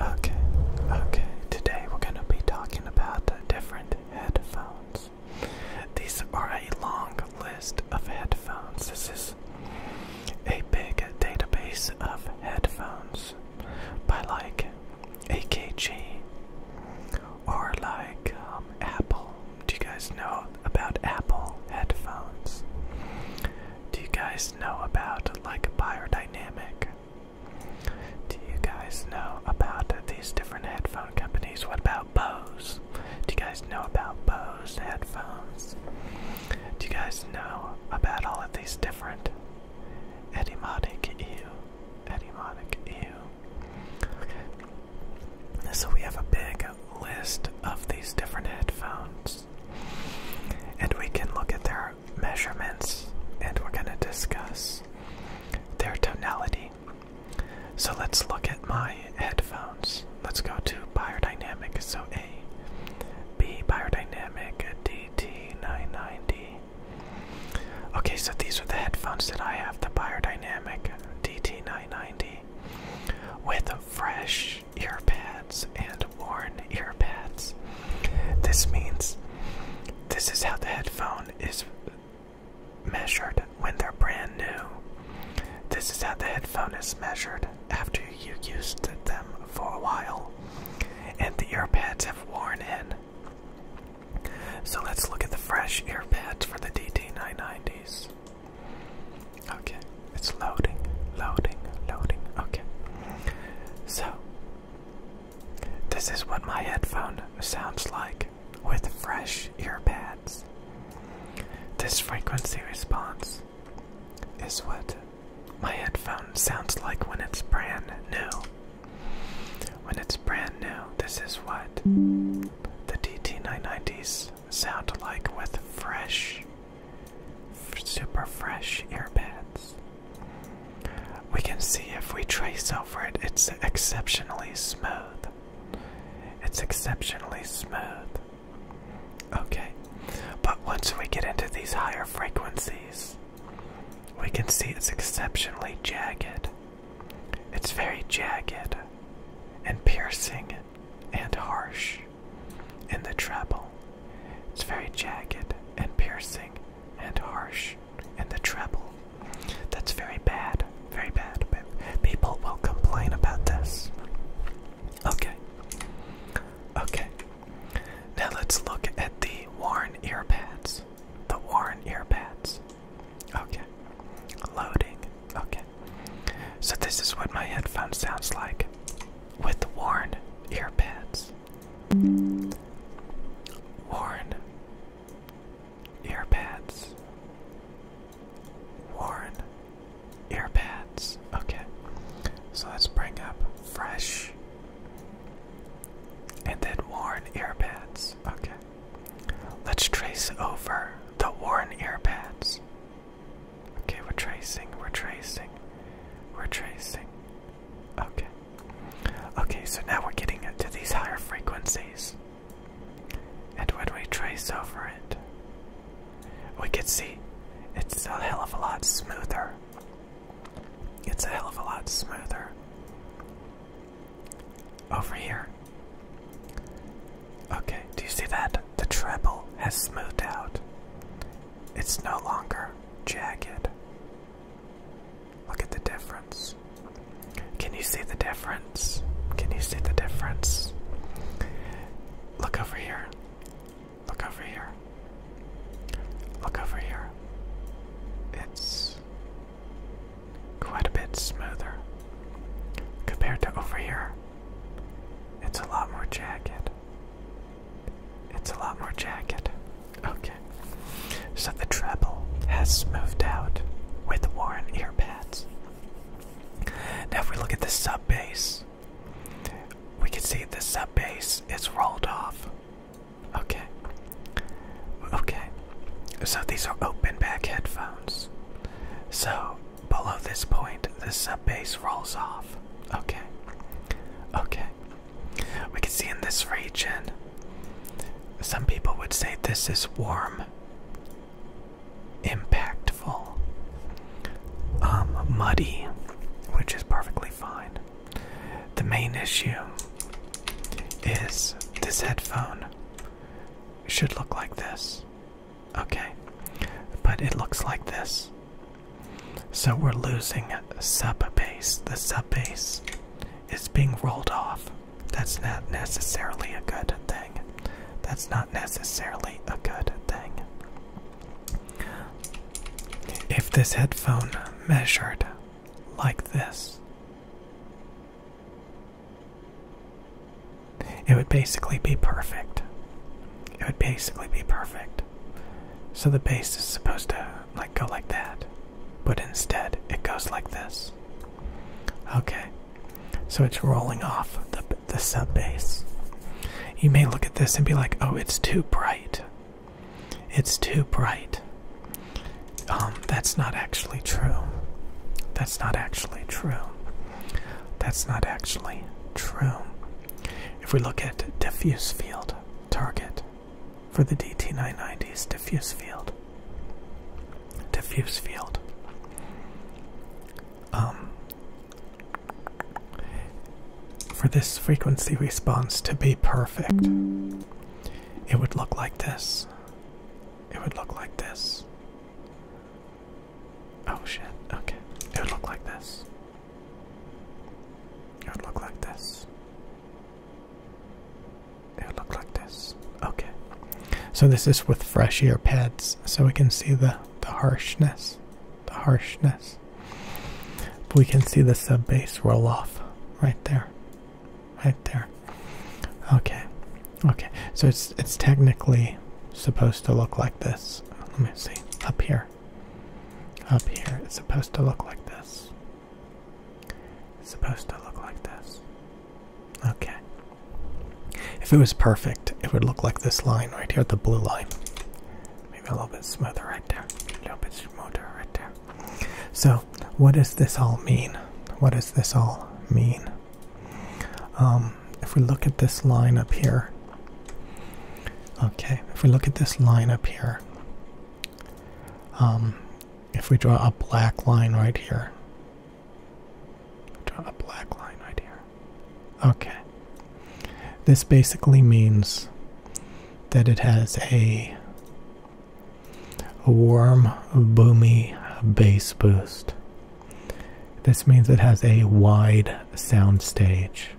Okay, okay, today we're going to be talking about different headphones. These are a long list of headphones. This is a big database of headphones by like AKG or like um, Apple. Do you guys know about Apple headphones? Do you guys know about like biodynamic? Do you guys know about these different headphone companies? What about Bose? Do you guys know about Bose headphones? Do you guys know about all of these different Etymotic EU? Etymotic EU. Okay. So we have a big list of these different headphones. And we can look at their measurements and we're going to discuss their tonality. So let's look at my headphones. Let's go to biodynamic. So A, B, biodynamic, DT990. Okay, so these are the headphones that I have the biodynamic DT990 with fresh earpads and worn earpads. This means this is how the headphone is measured when they're brand new. This is how the headphone is measured after you used them for a while and the earpads have worn in. So let's look at the fresh earpads for the DT990s. Okay, it's loading, loading, loading. Okay. So, this is what my headphone sounds like with fresh earpads. This frequency response is what my headphone sounds like when it's brand new. When it's brand new, this is what the DT990s sound like with fresh super fresh earpads. We can see if we trace over it, it's exceptionally smooth. It's exceptionally smooth. Okay, but once we get into these higher frequencies, we can see it's exceptionally jagged. It's very jagged and piercing and harsh in the treble. It's very jagged and piercing and harsh, and the treble. That's very bad, very bad. But people will complain about this. Okay. Okay. Now let's look at the worn earpads. The worn earpads. Okay. Loading. Okay. So this is what my headphone sounds like with worn earpads. Worn Earpads. Worn Earpads. Okay. So let's bring up fresh. And then worn earpads. Okay. Let's trace over the worn earpads. Okay, we're tracing, we're tracing, we're tracing. Okay. Okay, so now we're getting to these higher frequencies. And when we trace over it, we can see it's a hell of a lot smoother. It's a hell of a lot smoother. Over here. Okay, do you see that? The treble has smoothed out. It's no longer jagged. Look at the difference. Can you see the difference? Can you see the difference? Look over here. Look over here. Look over here. It's quite a bit smoother compared to over here. It's a lot more jagged. It's a lot more jagged. Okay. So the treble has smoothed out with worn earpads. Now, if we look at the sub bass, we can see the sub bass is rolled off. Okay. Okay. So these are open back headphones. So below this point, the sub bass rolls off. Okay. Okay. We can see in this region, some people would say this is warm, impactful, um, muddy, which is perfectly fine. The main issue is this headphone should look like this. Okay, but it looks like this. So we're losing sub base. The sub base is being rolled off. That's not necessarily a good thing. That's not necessarily a good thing. If this headphone measured like this, it would basically be perfect. It would basically be perfect. So the bass is supposed to like go like that, but instead it goes like this. Okay, so it's rolling off the the sub bass. You may look at this and be like, "Oh, it's too bright. It's too bright." Um, that's not actually true. That's not actually true. That's not actually true. If we look at diffuse field target, for the DT990's diffuse field. Diffuse field. Um, for this frequency response to be perfect, it would look like this. It would look like this. Oh shit, okay. It would look like this. It would look like this. It'll look like this. Okay. So this is with fresh ear pads, so we can see the the harshness, the harshness. We can see the sub bass roll off right there, right there. Okay, okay. So it's it's technically supposed to look like this. Let me see up here. Up here, it's supposed to look like this. It's supposed to look like this. Okay. If it was perfect, it would look like this line right here, the blue line. Maybe a little bit smoother right there. A little bit smoother right there. So, what does this all mean? What does this all mean? Um, if we look at this line up here, okay, if we look at this line up here, um, if we draw a black line right here, draw a black line right here. Okay. This basically means that it has a, a warm, boomy bass boost. This means it has a wide sound stage,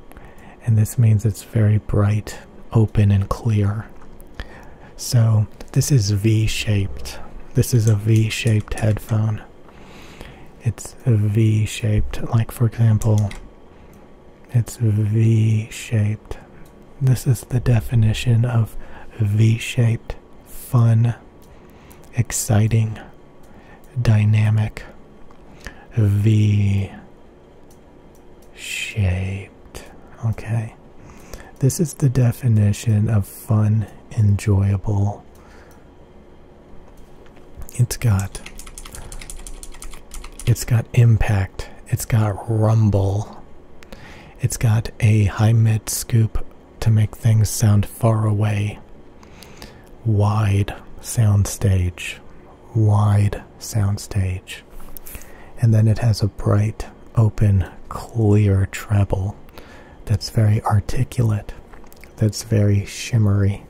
and this means it's very bright open and clear. So, this is V shaped. This is a V shaped headphone. It's V shaped. Like, for example, it's V shaped. This is the definition of V shaped fun, exciting, dynamic. V shaped. Okay. This is the definition of fun, enjoyable. It's got it's got impact, it's got rumble. It's got a high mid scoop to make things sound far away. Wide soundstage. Wide soundstage. And then it has a bright, open, clear treble that's very articulate, that's very shimmery,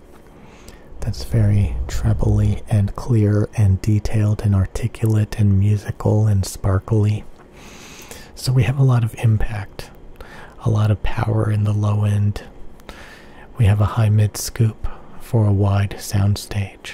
that's very trebly and clear and detailed and articulate and musical and sparkly. So we have a lot of impact, a lot of power in the low end. We have a high mid scoop for a wide soundstage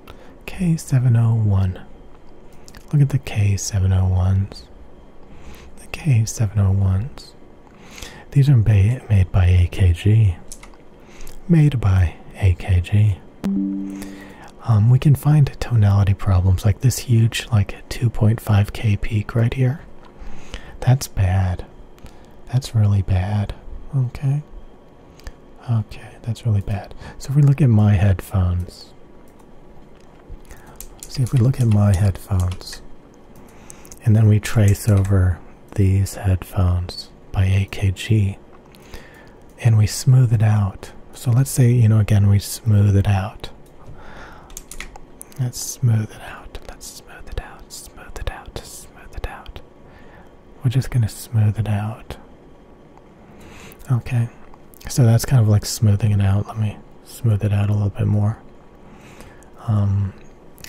K701. Look at the K701s. The K701s. These are made by AKG. Made by AKG. Um, we can find tonality problems like this huge, like 2.5k peak right here. That's bad. That's really bad. Okay. Okay, that's really bad. So if we look at my headphones, see if we look at my headphones, and then we trace over these headphones by AKG, and we smooth it out. So let's say, you know, again, we smooth it out. Let's smooth it out. Let's smooth it out. Smooth it out. Smooth it out. We're just going to smooth it out. Okay, so that's kind of like smoothing it out. Let me smooth it out a little bit more. Um,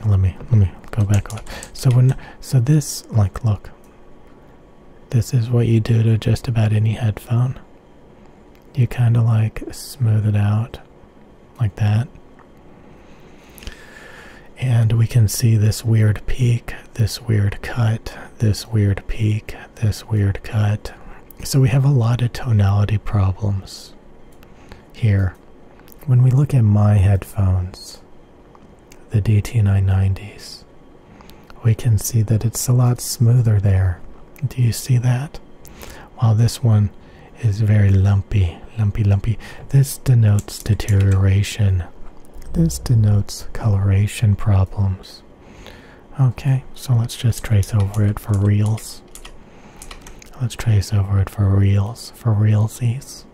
let me let me go back. So when so this like look, this is what you do to just about any headphone. You kind of like smooth it out like that. And we can see this weird peak, this weird cut, this weird peak, this weird cut. So we have a lot of tonality problems here. When we look at my headphones, the DT990s, we can see that it's a lot smoother there. Do you see that? While this one is very lumpy, lumpy, lumpy. This denotes deterioration. This denotes coloration problems. Okay, so let's just trace over it for reals. Let's trace over it for reals, for realsies,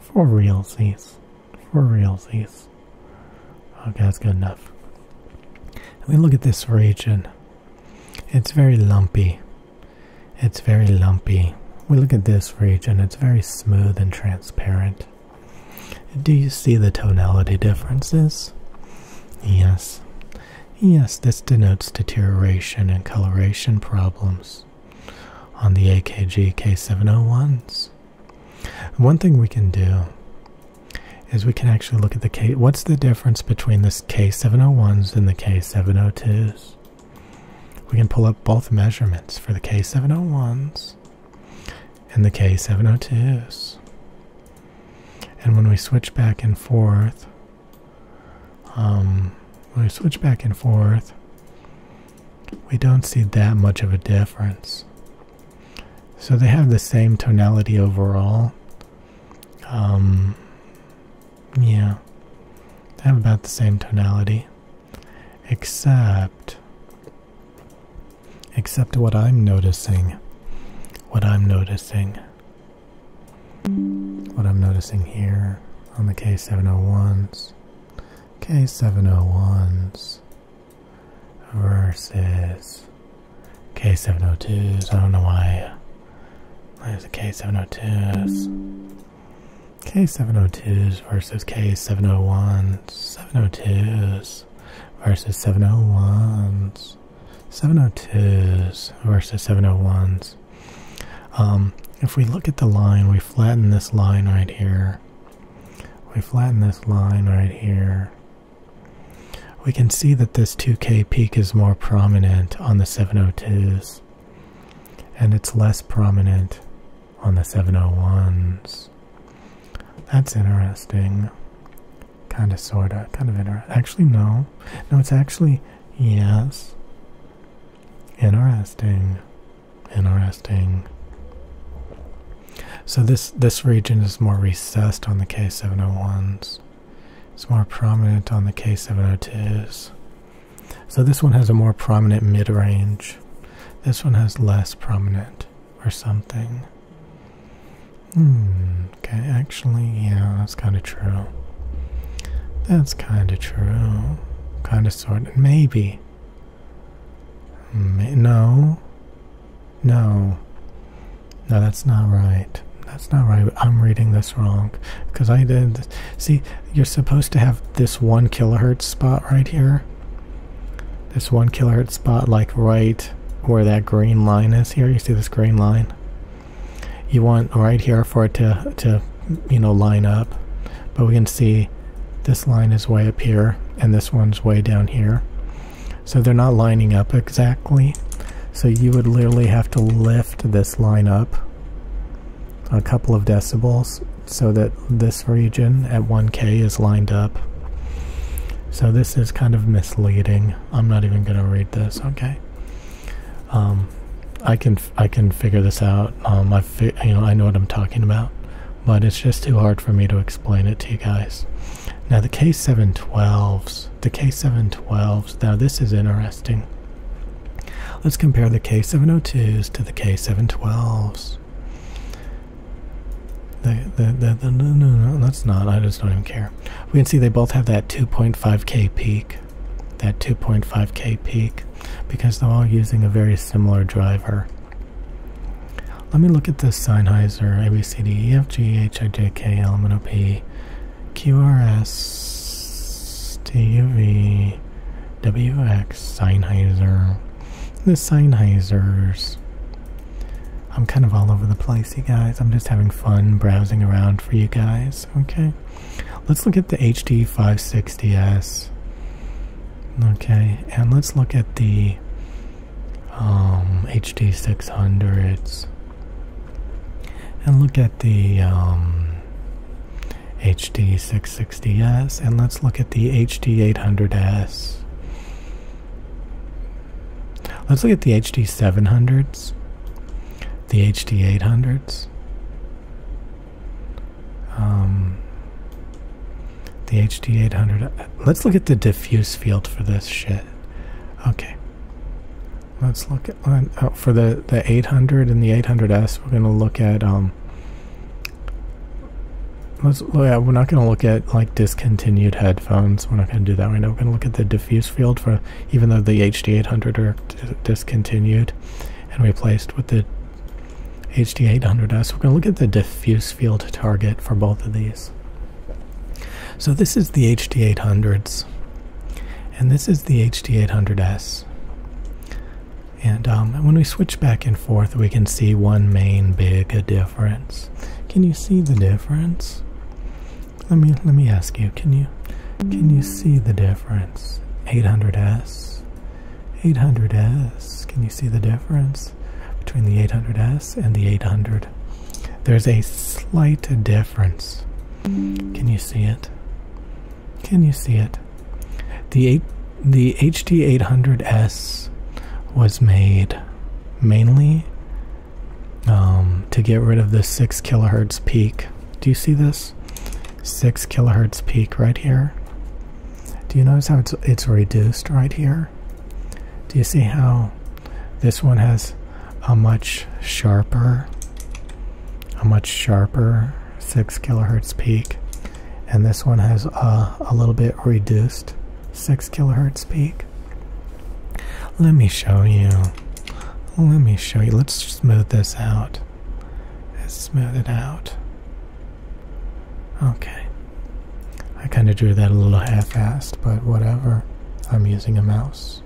for realsies, for realsies. Okay, that's good enough. And we look at this region. It's very lumpy. It's very lumpy. We look at this region, it's very smooth and transparent. Do you see the tonality differences? Yes. Yes, this denotes deterioration and coloration problems on the AKG K701s. One thing we can do is we can actually look at the K. What's the difference between this K701s and the K702s? We can pull up both measurements for the K701s and the K702s. And when we switch back and forth, um, when we switch back and forth, we don't see that much of a difference. So they have the same tonality overall. Um, yeah, they have about the same tonality, except Except what I'm noticing. What I'm noticing. What I'm noticing here on the K701s. K701s versus K702s. I don't know why. There's a K702s. K702s versus K701s, 702s. 701s versus 701s. 702s versus 701s. Um, if we look at the line, we flatten this line right here. We flatten this line right here. We can see that this 2K peak is more prominent on the 702s, and it's less prominent on the 701s. That's interesting. Kind of, sort of, kind of interesting. Actually, no. No, it's actually, yes. Interesting. Interesting. So this, this region is more recessed on the K701s. It's more prominent on the K702s. So this one has a more prominent mid-range. This one has less prominent or something. Hmm, okay, actually, yeah, that's kind of true. That's kind of true. Kind of sort of. Maybe. no. No. No, that's not right. That's not right. I'm reading this wrong. Because I did. See, you're supposed to have this one kilohertz spot right here. This one kilohertz spot like right where that green line is here. You see this green line? You want right here for it to you know, line up. But we can see this line is way up here and this one's way down here. So they're not lining up exactly. So you would literally have to lift this line up a couple of decibels so that this region at 1K is lined up. So this is kind of misleading. I'm not even going to read this. Okay. Um, I can I can figure this out. Um, I you know I know what I'm talking about, but it's just too hard for me to explain it to you guys. Now the K712s, the K712s. Now this is interesting. Let's compare the K702s to the K712s. They, they, they, no, no, no, that's not. I just don't even care. We can see they both have that 2.5k peak. That 2.5k peak. Because they're all using a very similar driver. Let me look at this Sennheiser ABCD Sennheiser the Sennheisers. I'm kind of all over the place, you guys. I'm just having fun browsing around for you guys. Okay, let's look at the HD 560s. Okay, and let's look at the um, HD 600s. And look at the um, HD 660s, and let's look at the HD 800s. Let's look at the HD 700s, the HD 800s, um, the HD 800. Let's look at the diffuse field for this shit. Okay. Let's look at uh, oh, for the the 800 and the 800s. We're gonna look at um, yeah, we're not going to look at like discontinued headphones. We're not going to do that We're going to look at the diffuse field for even though the HD800 are discontinued and replaced with the HD800S. We're going to look at the diffuse field target for both of these. So this is the HD800s and this is the HD800S. And um, when we switch back and forth, we can see one main big diff. Can you see the difference? Let me let me ask you, can you can you see the difference? 800S 800S, can you see the difference between the 800S and the 800? There's a slight difference. Can you see it? Can you see it? The eight, the HT800S was made mainly um, to get rid of the 6 kilohertz peak. Do you see this? 6 kilohertz peak right here. Do you notice how it's, it's reduced right here? Do you see how this one has a much sharper, a much sharper 6 kilohertz peak? And this one has a, a little bit reduced 6 kilohertz peak. Let me show you. Let me show you. Let's smooth this out. Let's smooth it out. Okay. I kind of drew that a little half-assed, but whatever. I'm using a mouse.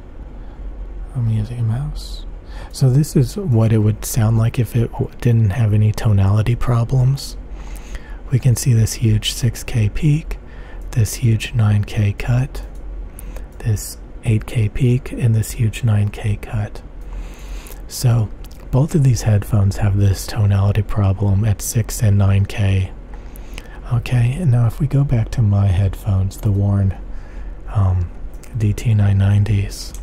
I'm using a mouse. So this is what it would sound like if it didn't have any tonality problems. We can see this huge 6K peak this huge 9K cut, this 8K peak, and this huge 9K cut. So both of these headphones have this tonality problem at 6 and 9K. Okay, and now if we go back to my headphones, the Warn um, DT990s,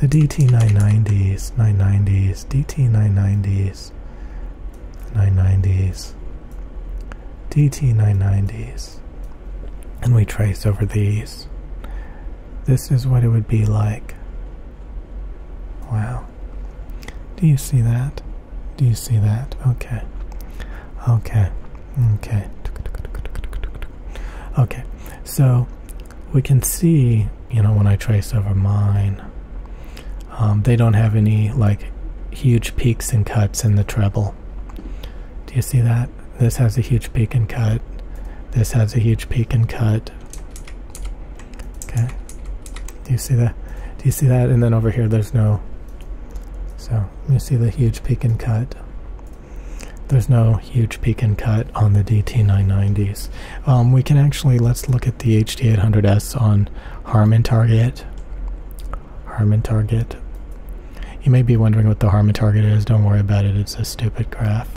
the DT990s, 990s, DT990s, 990s, DT 990s, and we trace over these. This is what it would be like. Wow. Do you see that? Do you see that? Okay. Okay. Okay. Okay. So we can see, you know, when I trace over mine, um, they don't have any like huge peaks and cuts in the treble. Do you see that? This has a huge peak and cut. This has a huge peak and cut. Okay. Do you see that? Do you see that? And then over here, there's no. So you see the huge peak and cut. There's no huge peak and cut on the DT990s. Um, we can actually, let's look at the HD800S on Harman Target. Harman Target. You may be wondering what the Harman Target is. Don't worry about it. It's a stupid graph.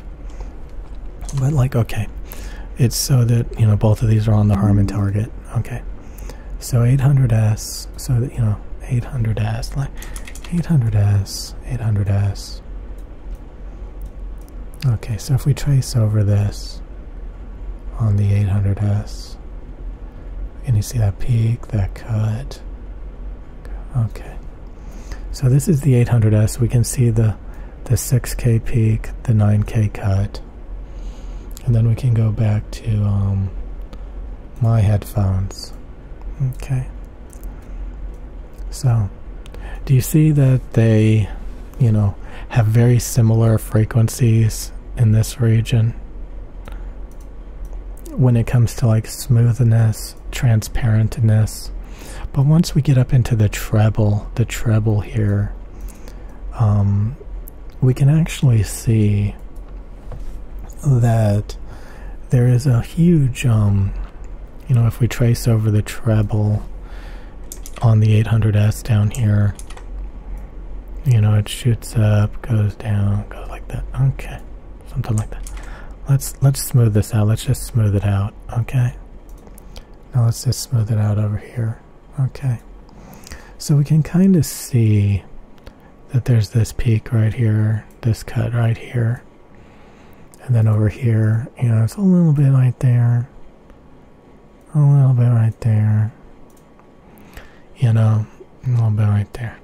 But like, okay. It's so that, you know, both of these are on the Harman Target. Okay. So 800S, so you know, 800S, like 800S, 800S, Okay, so if we trace over this on the 800S, can you see that peak, that cut? Okay. So this is the 800S. We can see the, the 6K peak, the 9K cut. And then we can go back to um, my headphones. Okay. So, do you see that they you know, have very similar frequencies in this region when it comes to like smoothness, transparentness. But once we get up into the treble, the treble here, um, we can actually see that there is a huge, um, you know, if we trace over the treble, on the 800S down here. You know, it shoots up, goes down, goes like that. Okay, something like that. Let's let's smooth this out. Let's just smooth it out. Okay. Now let's just smooth it out over here. Okay. So we can kind of see that there's this peak right here, this cut right here, and then over here, you know, it's a little bit right there, a little bit right there, you know, a little bit right there.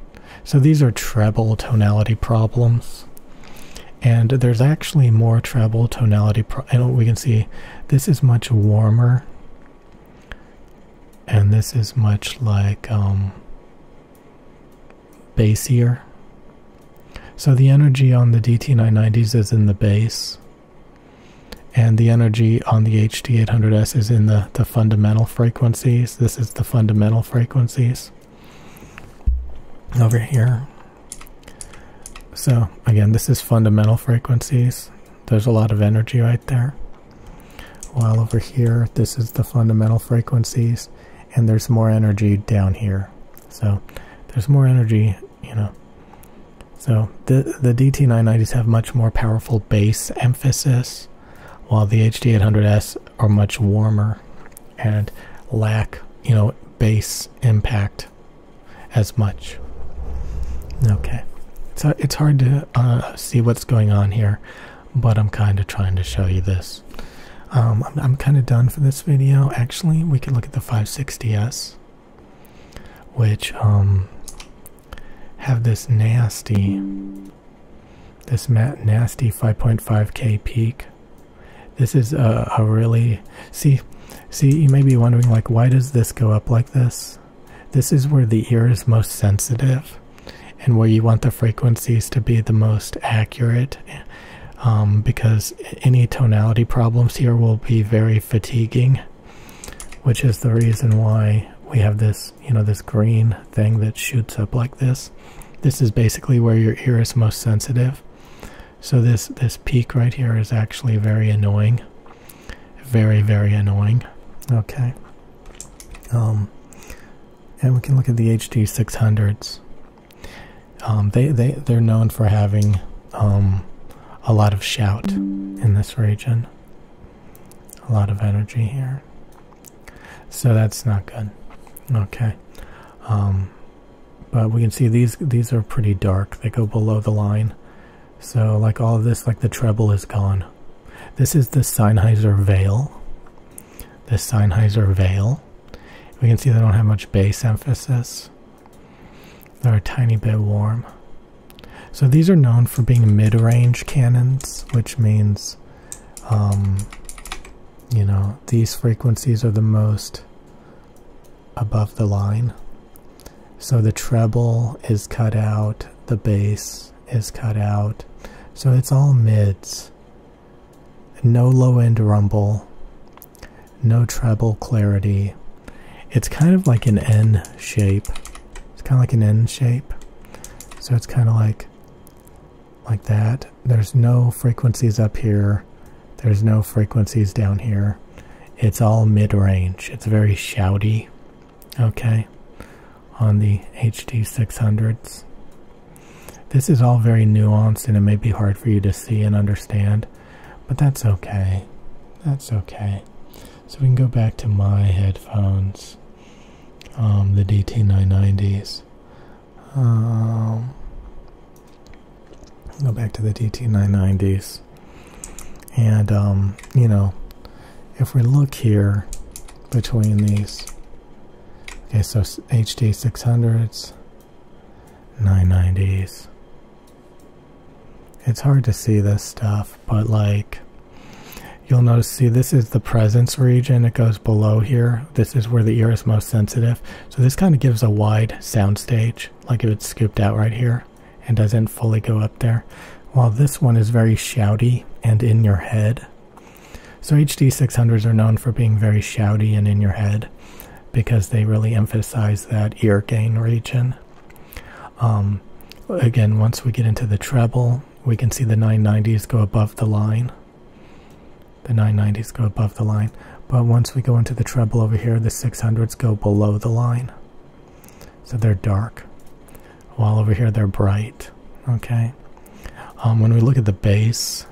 So these are treble tonality problems, and there's actually more treble tonality. Pro and we can see this is much warmer, and this is much like um, bassier. So the energy on the DT990s is in the base and the energy on the hd 800s is in the, the fundamental frequencies. This is the fundamental frequencies over here. So again, this is fundamental frequencies. There's a lot of energy right there. While over here, this is the fundamental frequencies and there's more energy down here. So there's more energy you know. So the the DT990s have much more powerful bass emphasis, while the HD800s are much warmer and lack, you know, bass impact as much. Okay, so it's hard to uh, see what's going on here, but I'm kind of trying to show you this. Um, I'm, I'm kind of done for this video. Actually, we could look at the 560s which um, have this nasty, this nasty 5.5k peak. This is a, really see, see. You may be wondering like, why does this go up like this? This is where the ear is most sensitive, and where you want the frequencies to be the most accurate. Um, because any tonality problems here will be very fatiguing which is the reason why we have this, you know, this green thing that shoots up like this. This is basically where your iris is most sensitive. So this this peak right here is actually very annoying. Very, very annoying. Okay. Um, and we can look at the HD 600s. Um, they, they, they're known for having um, a lot of shout in this region. A lot of energy here. So that's not good. Okay. Um, but we can see these these are pretty dark. They go below the line. So like all of this, like the treble is gone. This is the Sennheiser Veil. The Sennheiser Veil. We can see they don't have much bass emphasis. They're a tiny bit warm. So these are known for being mid-range cannons, which means, um, you know, these frequencies are the most above the line. So the treble is cut out, the bass is cut out. So it's all mids. No low end rumble, no treble clarity, it's kind of like an N shape. It's kind of like an N shape. So it's kind of like like that. There's no frequencies up here. There's no frequencies down here. It's all mid-range. It's very shouty. Okay. On the HD600s. This is all very nuanced and it may be hard for you to see and understand, but that's okay. That's okay. So we can go back to my headphones, um, the DT990s. Um, go back to the DT990s. And, um, you know, if we look here between these, okay, so HD 600s, 990s, it's hard to see this stuff, but like you'll notice see this is the presence region it goes below here this is where the ear is most sensitive so this kind of gives a wide sound stage like if it's scooped out right here and doesn't fully go up there while this one is very shouty and in your head so hd 600s are known for being very shouty and in your head because they really emphasize that ear gain region um, again, once we get into the treble, we can see the 990s go above the line. The 990s go above the line. But once we go into the treble over here, the 600s go below the line. So they're dark. While over here, they're bright. Okay. Um, when we look at the bass,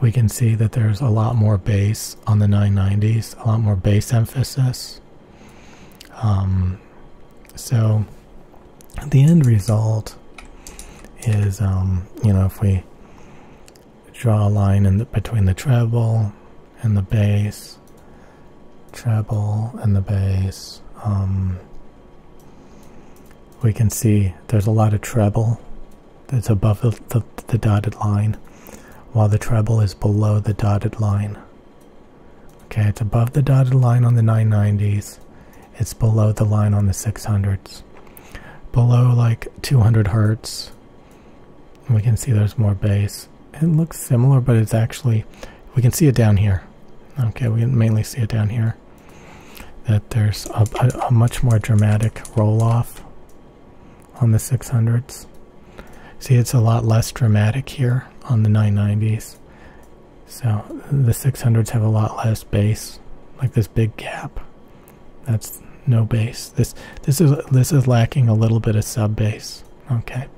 we can see that there's a lot more bass on the 990s, a lot more bass emphasis. Um, so the end result is, um, you know, if we draw a line between the treble and the bass, treble and the bass, um, we can see there's a lot of treble that's above the dotted line, while the treble is below the dotted line. Okay, it's above the dotted line on the 990s. It's below the line on the 600s. Below like 200 hertz, we can see there's more bass. It looks similar, but it's actually, we can see it down here. Okay, we mainly see it down here. That there's a much more dramatic roll off on the 600s. See, it's a lot less dramatic here on the 990s. So the 600s have a lot less bass, like this big gap. That's no bass. This this is this is lacking a little bit of sub bass. Okay,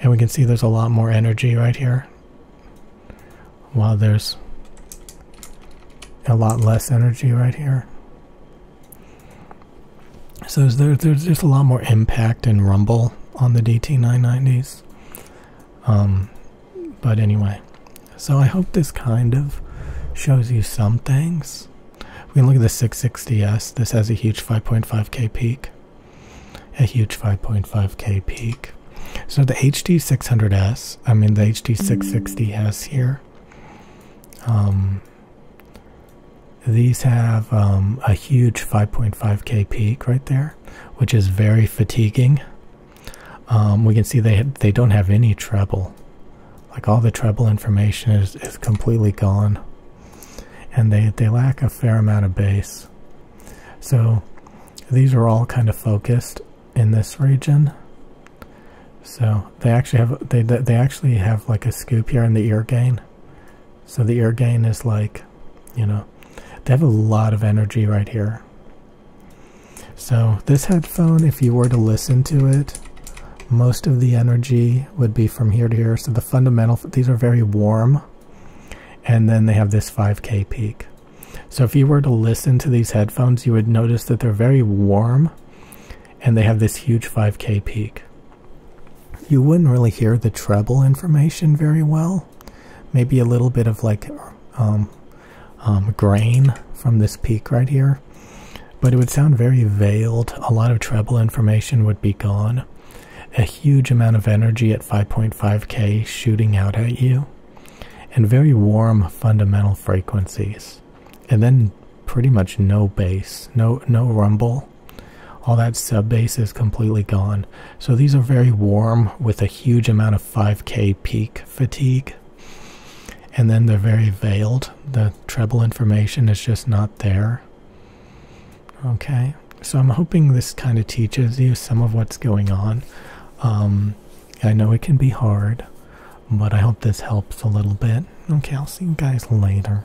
and we can see there's a lot more energy right here. While there's a lot less energy right here. So there's, just a lot more impact and rumble on the DT990s. Um, but anyway, so I hope this kind of shows you some things. We can look at the 660S. This has a huge 5.5K peak. A huge 5.5K peak. So the HD600S, I mean the HD660S here, um, these have um, a huge 5.5k peak right there, which is very fatiguing. Um, we can see they they don't have any treble, like all the treble information is is completely gone, and they they lack a fair amount of bass. So these are all kind of focused in this region. So they actually have they they actually have like a scoop here in the ear gain, so the ear gain is like, you know, they have a lot of energy right here. So this headphone, if you were to listen to it, most of the energy would be from here to here. So the fundamental, these are very warm. And then they have this 5K peak. So if you were to listen to these headphones, you would notice that they're very warm and they have this huge 5K peak you wouldn't really hear the treble information very well. Maybe a little bit of like um, um, grain from this peak right here, but it would sound very veiled. A lot of treble information would be gone. A huge amount of energy at 5.5k shooting out at you, and very warm fundamental frequencies, and then pretty much no bass, no no rumble, all that sub bass is completely gone. So these are very warm with a huge amount of 5k peak fatigue. And then they're very veiled. The treble information is just not there. Okay, so I'm hoping this kind of teaches you some of what's going on. Um, I know it can be hard, but I hope this helps a little bit. Okay, I'll see you guys later.